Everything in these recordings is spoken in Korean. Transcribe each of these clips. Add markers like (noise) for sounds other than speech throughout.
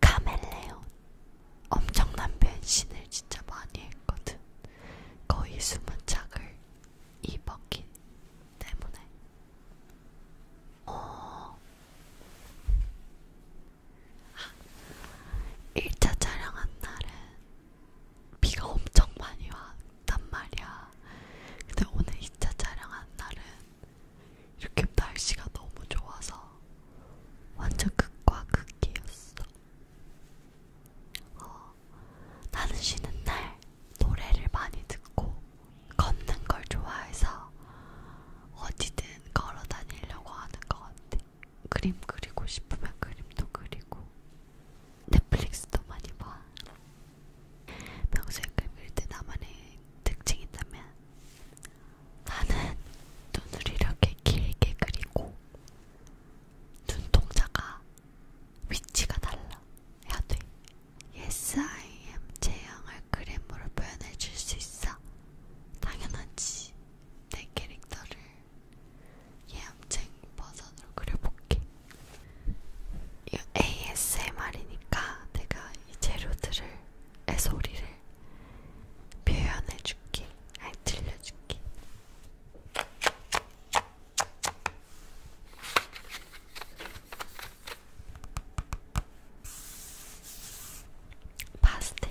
카멜레온 엄청난 변신을 진짜 많이 했거든. 거의 숨은 착을 입었기 때문에. 어. 아, 1차 촬영한 날은 비가 엄청 많이 왔단 말이야. 근데 오늘 2차 촬영한 날은 이렇게 날씨가 너무 좋아서 완전 극과 극이었어. 어, 나는 쉬는 날 노래를 많이 듣고 걷는 걸 좋아해서 어디든 걸어 다니려고 하는 것 같아. 그림 그리고 싶으면 그림도 그리고 넷플릭스도 많이 봐. 평소에 글 그릴 때 나만의 특징이 있다면 나는 눈을 이렇게 길게 그리고 눈동자가 위치가 달라 해야 돼. Yes, I am 제형을 그림으로 표현해 줄 수 있어. 당연하지. 내 캐릭터를 예암쟁 버전으로 그려볼게. ASMR이니까 내가 이 재료들을 애소리를 표현해줄게. 아니 들려줄게. 파스텔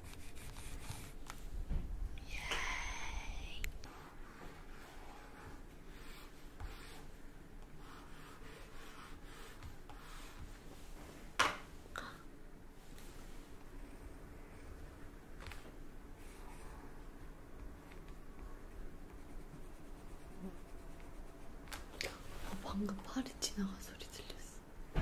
Yay. 방금 팔이 지나간 소리 들렸어.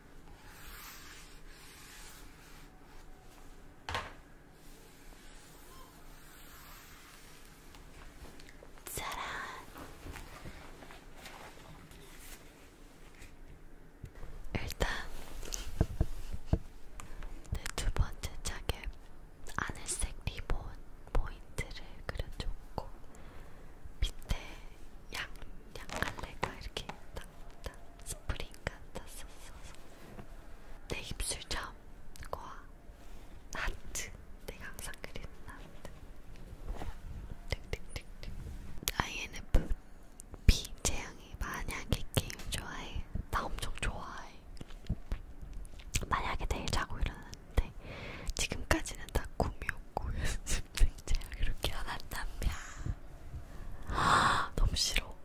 짜란 일단 내 두번째 짝에 하늘색 리본 포인트를 그려줬고 밑에 양 약갈래가 이렇게 딱딱 스프링 같았었어서 내 입술점과 하트 내가 항상 그리는 하트 득득득득 INFP 재앙이 만약에 게임 좋아해 나 엄청 좋아해 만약에 내일 자고 일어났는데 지금까지는 다 꿈이었고 (laughs) 맹자야 그렇게 안 한답냐 너무 싫어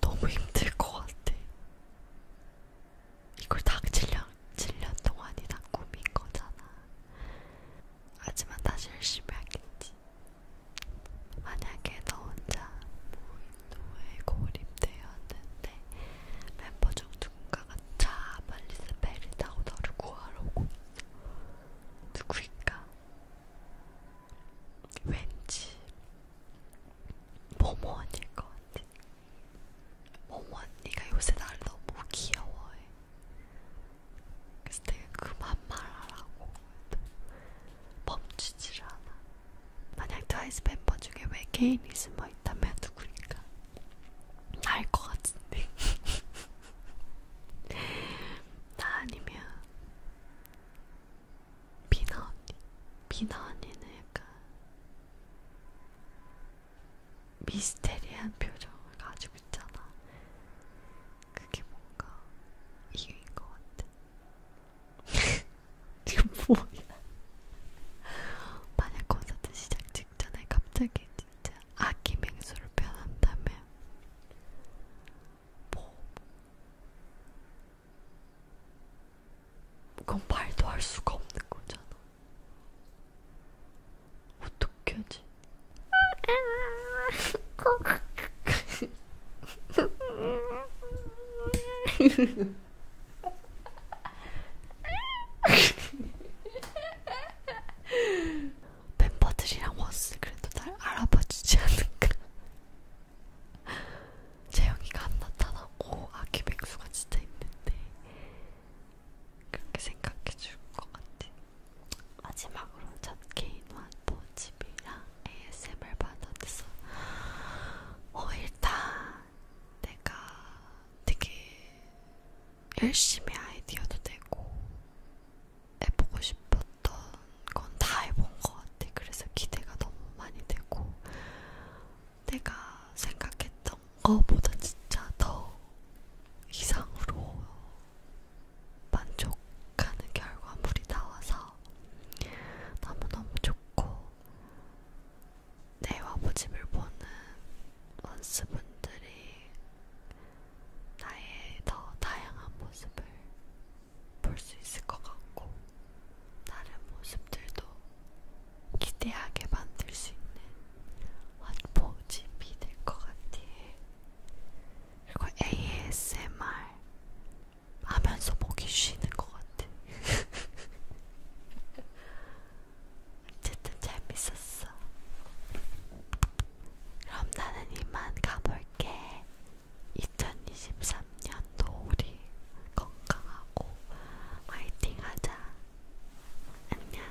너무 힘들 것 같아 이걸 딱 7년, 7년 동안이나 꾸민 거잖아 하지만 다시 열심히 하겠지 만약에 너 혼자 무인도에 고립되었는데 멤버 중 누군가가 자 빨리 스페를 타고 너를 구하러 오고 누구일까? 왠지 모모 언니일 것 같아. 모모 언니가 요새 나를 너무 귀여워해. 그래서 내가 그만 말하라고 멈추질 않아. 만약 트와이스 멤버 중에 외계인이 숨어 친구가 있다면 누구니까 나것 같은데 (laughs) 나 아니면 비나 언니 비나 언니는 약간 미스테리한 표정을 가지고 있잖아 그게 뭔가 이유인 것 같아 지금 (laughs) 뭐야? 만약 콘서트 시작 직전에 갑자기 진짜 아기 맹수를 변한다면 뭐 그건 말도 할 수가 없는 거잖아. 어떻게 하지? (laughs) (laughs) (laughs) 멤버들이랑 왔을 그래도 날 알아봐주지 않을까. 재영이가 안 나타나고 아기 백수가 진짜 있는데 그렇게 생각해줄 것 같아. 마지막으로 첫 개인 완보 집이랑 ASMR 받았어. 어, 일단 내가 되게 열심히 아이디어도 되고 해보고 싶었던 건 다 해본 것 같아. 그래서 기대가 너무 많이 되고 내가 생각했던 것보다 진짜 더 이상으로 만족하는 결과물이 나와서 같아서 너무너무 좋고 내 와보집을 보는 원스분들이 나의 더 다양한 모습을 볼 수 있을 것 같고 다른 모습들도 기대하게 만들 수 있는 원포집이 될 것 같아. 그리고 ASMR 하면서 목이 쉬는 것 같아. (laughs) 어쨌든 재밌었어. 그럼 나는 이만 가볼게. 2023년도 우리 건강하고 화이팅 하자. 안녕.